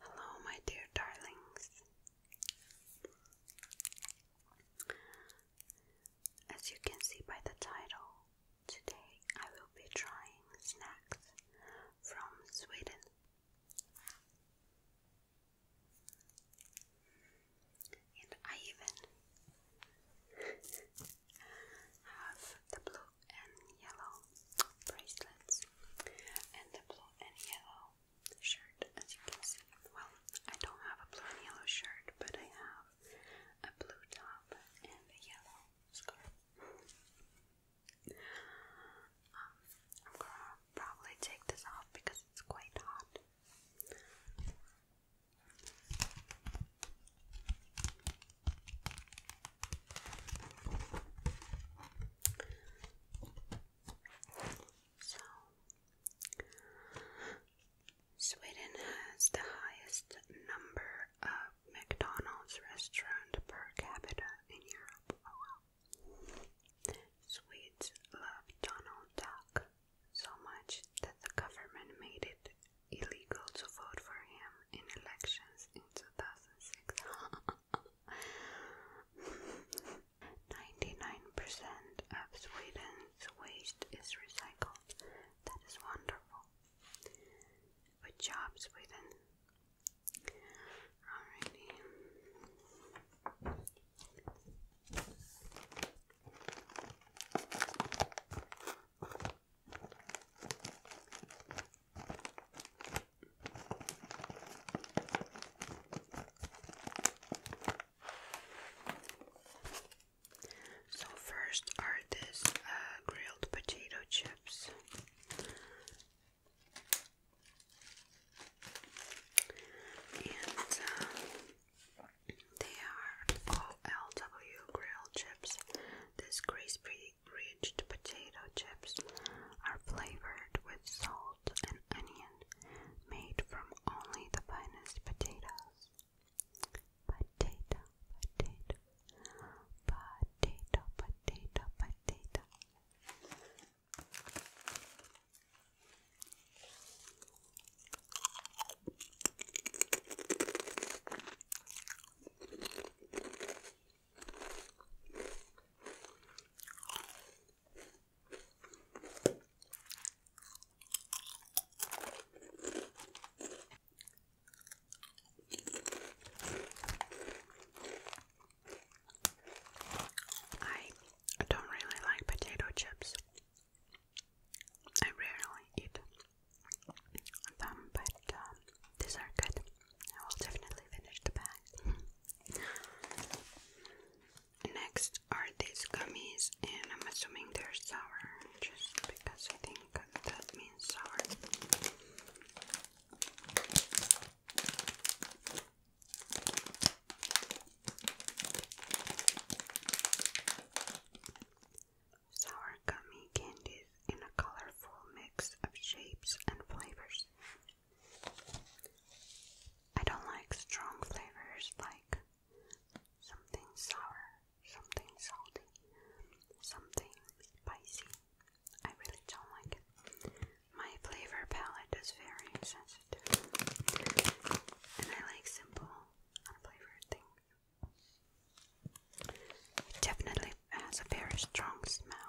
Hello, my dear darlings. As you can see by the title, Today I will be trying snacks from Sweden. And I even have the blue and yellow bracelets and the blue and yellow shirt as you can see. Well, I don't have a blue and yellow shirt, but I have a blue top and a yellow scarf. Um, I'm gonna probably take this off because it's quite hot. So, Sweden has the highest number of McDonald's restaurants per capita in Europe. Oh, Swedes love Donald Duck so much that the government made it illegal to vote for him in elections in 2006. 99% of Sweden's waste is recycled, that is wonderful. Good job, Sweden. Alrighty. So first are these uh, grilled potato chips. And uh, they are OLW grilled chips. These crispy, rich potato chips are flavored with salt and onion, made from only the finest potatoes potato, potato, potato, potato, potato. Potato, I don't really like potato chips. I rarely eat them, but um, these are good. I will definitely finish the bag. Next are these gummies, and I'm assuming they're sour just because I think that means sour. Sour gummy candies in a colorful mix of shapes and flavors. I don't like strong flavors like something sour, something salty, something spicy. I really don't like it. My flavor palette is very sensitive, and I like simple, unflavored things. It definitely has a very strong smell.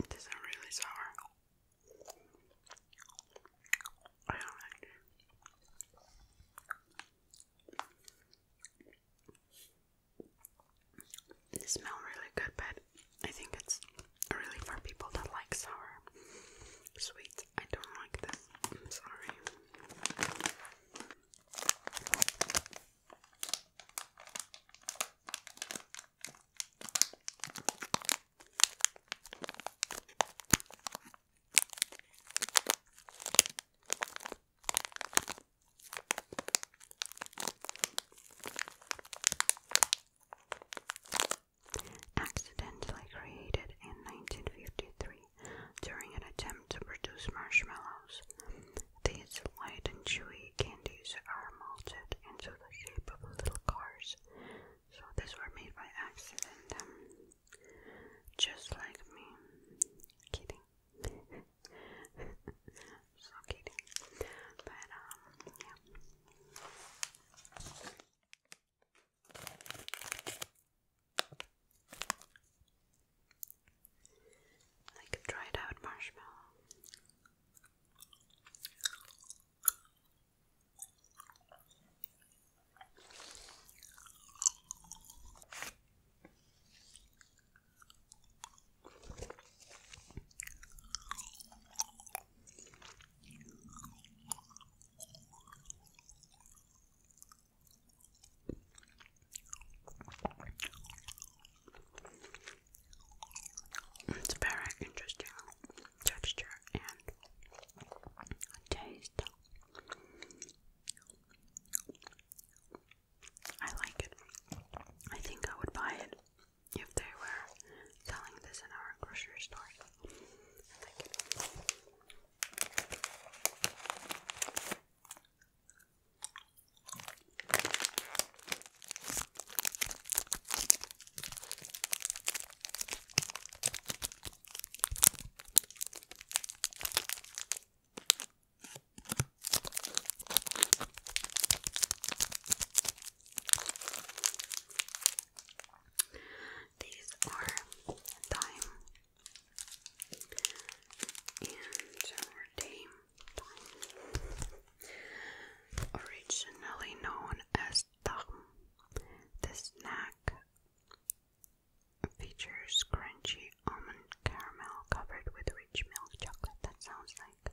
It isn't really sour. They smell really good, but I think it's really for people that like sour sweet. I don't like this. sorry accidentally created in 1953 during an attempt to produce marshmallows. These light and chewy candies are melted into the shape of little cars. So these were made by accident. Um, just like me. Kidding. she's But um yeah. Like dried out marshmallow. It's a very interesting texture and taste. I like it. I think I would buy it if they were selling this in our grocery store. These are thyme and Dame originally known as thyme. This snack features crunchy almond caramel covered with rich milk chocolate. That sounds like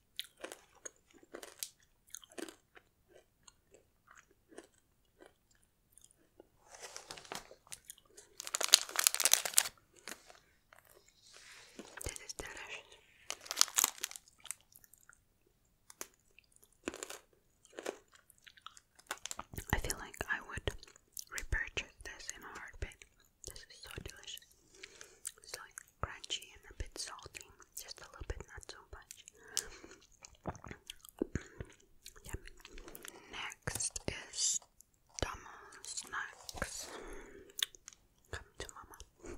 This is delicious. I feel like I would repurchase this in a heartbeat. This is so delicious. It's crunchy and a bit salty, just a little bit, not so much. Next is Tomo Snacks. Come to Mama.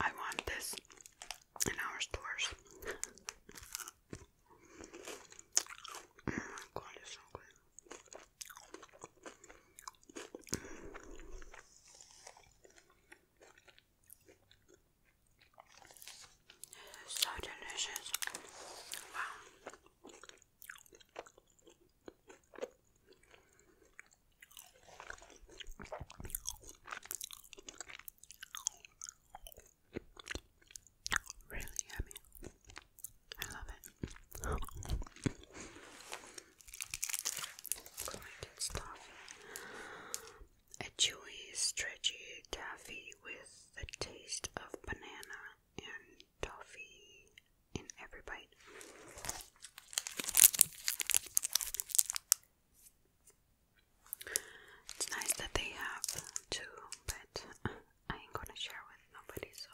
I want this in our stores. Oh so delicious. Wow. Really yummy. I love it. A chewy, stretchy taffy with the taste of banana and toffee in every bite. It's nice that they have two, but I ain't gonna share with nobody, so.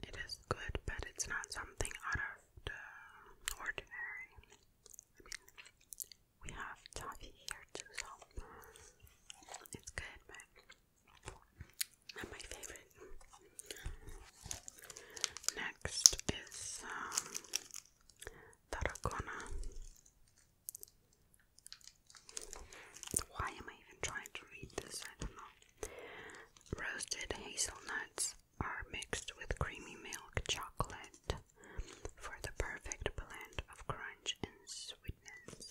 It is good, but it's not something out of the ordinary. I we have toffee here too, so it's good, but my favorite. Next is um, Tarragona. Why am I even trying to read this? I don't know. Roasted hazelnuts, are mixed with creamy milk chocolate for the perfect blend of crunch and sweetness.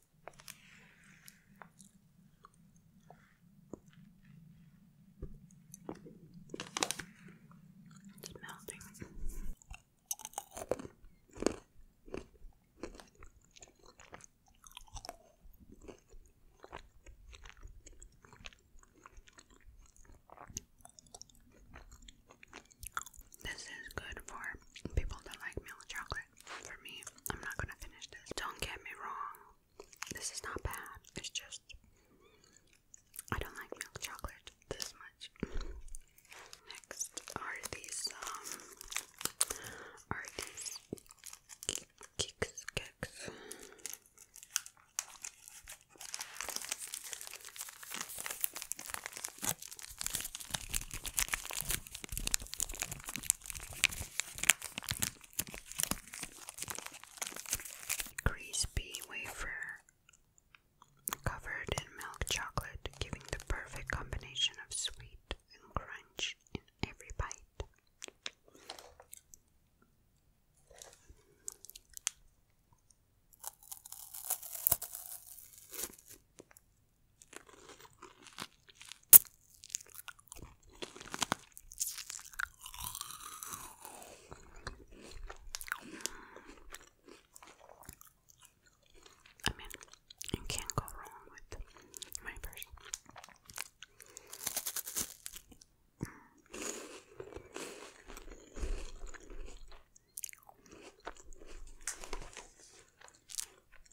It's melting. This is good for people that like milk chocolate for me. I'm not gonna finish this. Don't get me wrong. This is not bad. It's just I don't like milk chocolate this much. Next are these um are these kicks cakes. Crispy wafer covered in milk chocolate, giving the perfect combination of sweet and crunch in every bite. I mean, you can't go wrong with my person.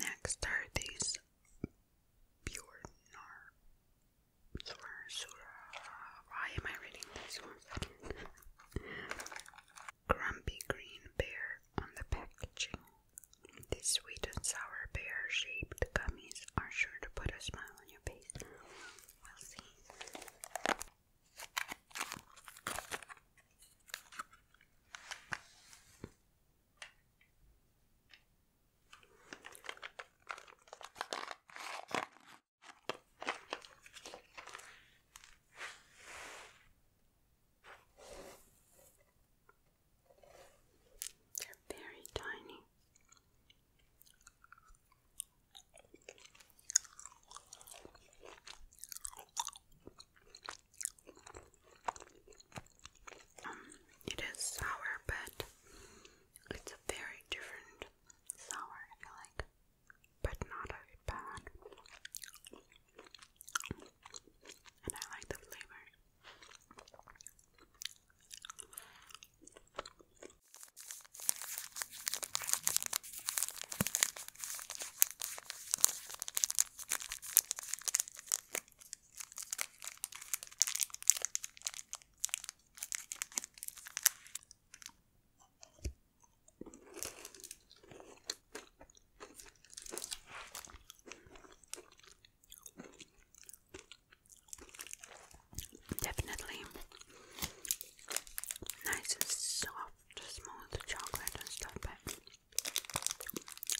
Next are these pure nar. Why am I reading this one? Grumpy green bear on the packaging. These sweet and sour bear shaped gummies are sure to put a smile on your face. We'll see. They're very tiny it is sour, but it's a very different sour, I like, but not as bad. And I like the flavor. Definitely nice and soft, smooth chocolate and stuff, but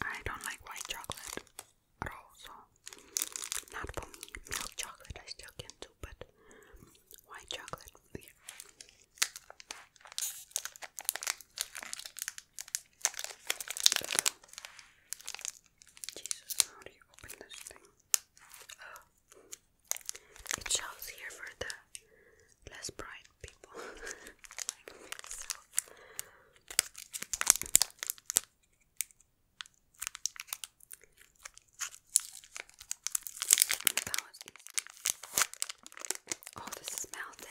I don't like white chocolate at all, so not for me. Milk chocolate I still can do, but white chocolate, Jesus, how do you open this thing? It shows here for the less bright people like Oh, this is melted.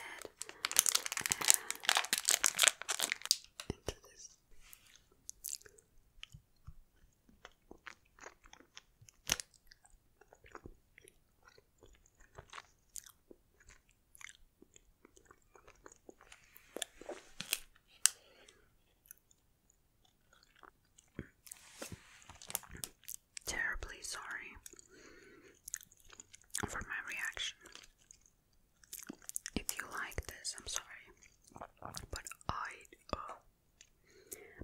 into this. Terribly sorry for my reaction. If you like this, I'm sorry, but I oh,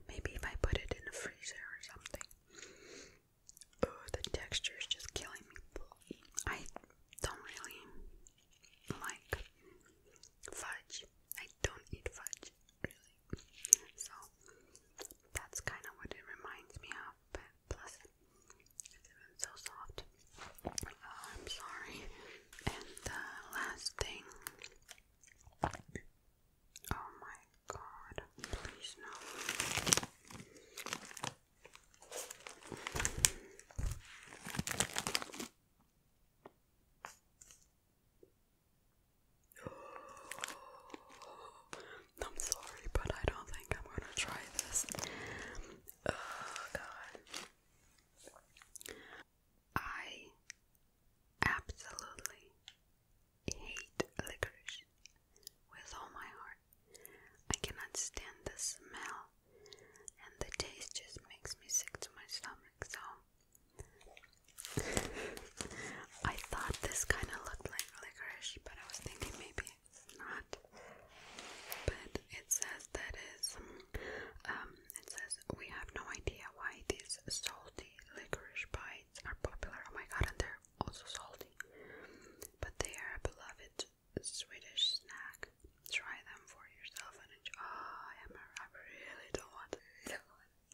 maybe if I put it in the freezer or something, Oh, the texture is just killing me. I don't really like fudge. I don't eat fudge, really. So that's kind of what it reminds me of. But plus, it's even so soft. I'm sorry. And the last thing. Oh my god, please no. I'm sorry, but I don't think I'm gonna try this. Oh god. I absolutely hate licorice with all my heart. I cannot stand the smell, and the taste just makes me sick to my stomach. So, I thought this kind of looked like licorice, but I was thinking maybe it's not. But it says that is, um, it says we have no idea why these salty licorice bites are popular. Oh my god, and they're also salty. But they are a beloved Swedish snack. Try them for yourself and enjoy. I, am a, I really don't want to,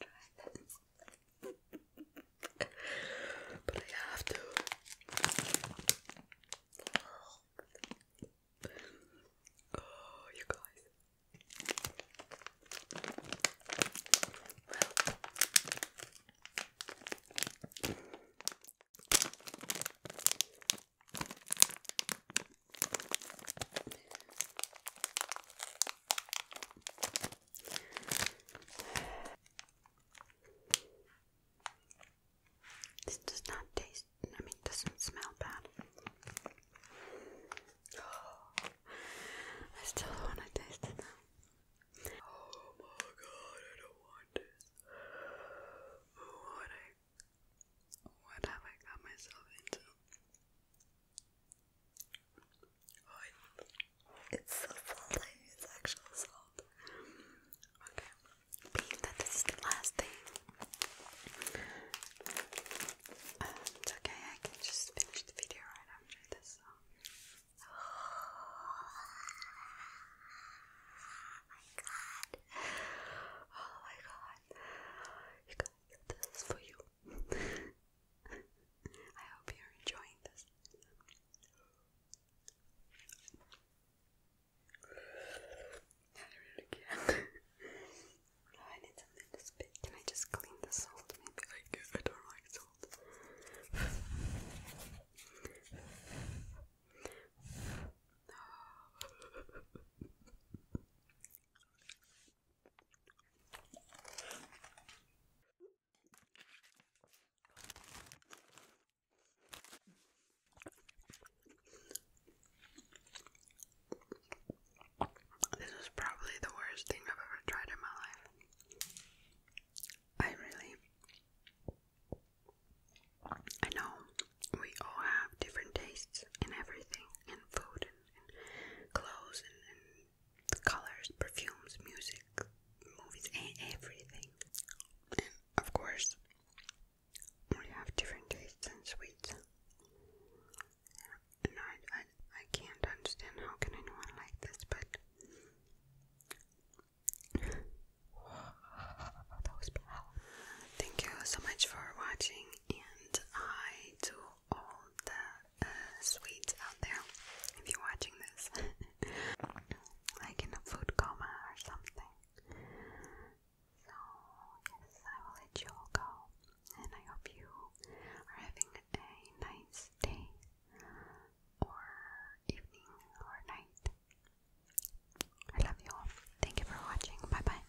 don't but I have to. Oh, you guys this does not taste, I mean, doesn't smell bad. I still want to taste it now. Oh my god, I don't want this. What I what have I got myself into? it's salty, it's actual salt. Okay. Being that this is the last thing. it's okay, I can just finish the video right after this, so my god. Oh my god. guys, this is for you. I hope you're enjoying this. I really can't. I need something to spit. Can I just clean the salt? Maybe I, I don't like salt. This is probably the worst thing I've ever tried in my life. I really I know we all have different tastes in everything in food and, clothes and, and colors, perfumes, music, movies, and everything. And of course, we have different tastes in sweets no, I, I can't understand how can anyone like this, but Thank you so much for watching, and hi to all the uh, sweets out there. If you're watching this, like in a food coma or something. So yes, I will let you all go, and I hope you are having a nice day or evening or night. I love you all. Thank you for watching. Bye bye.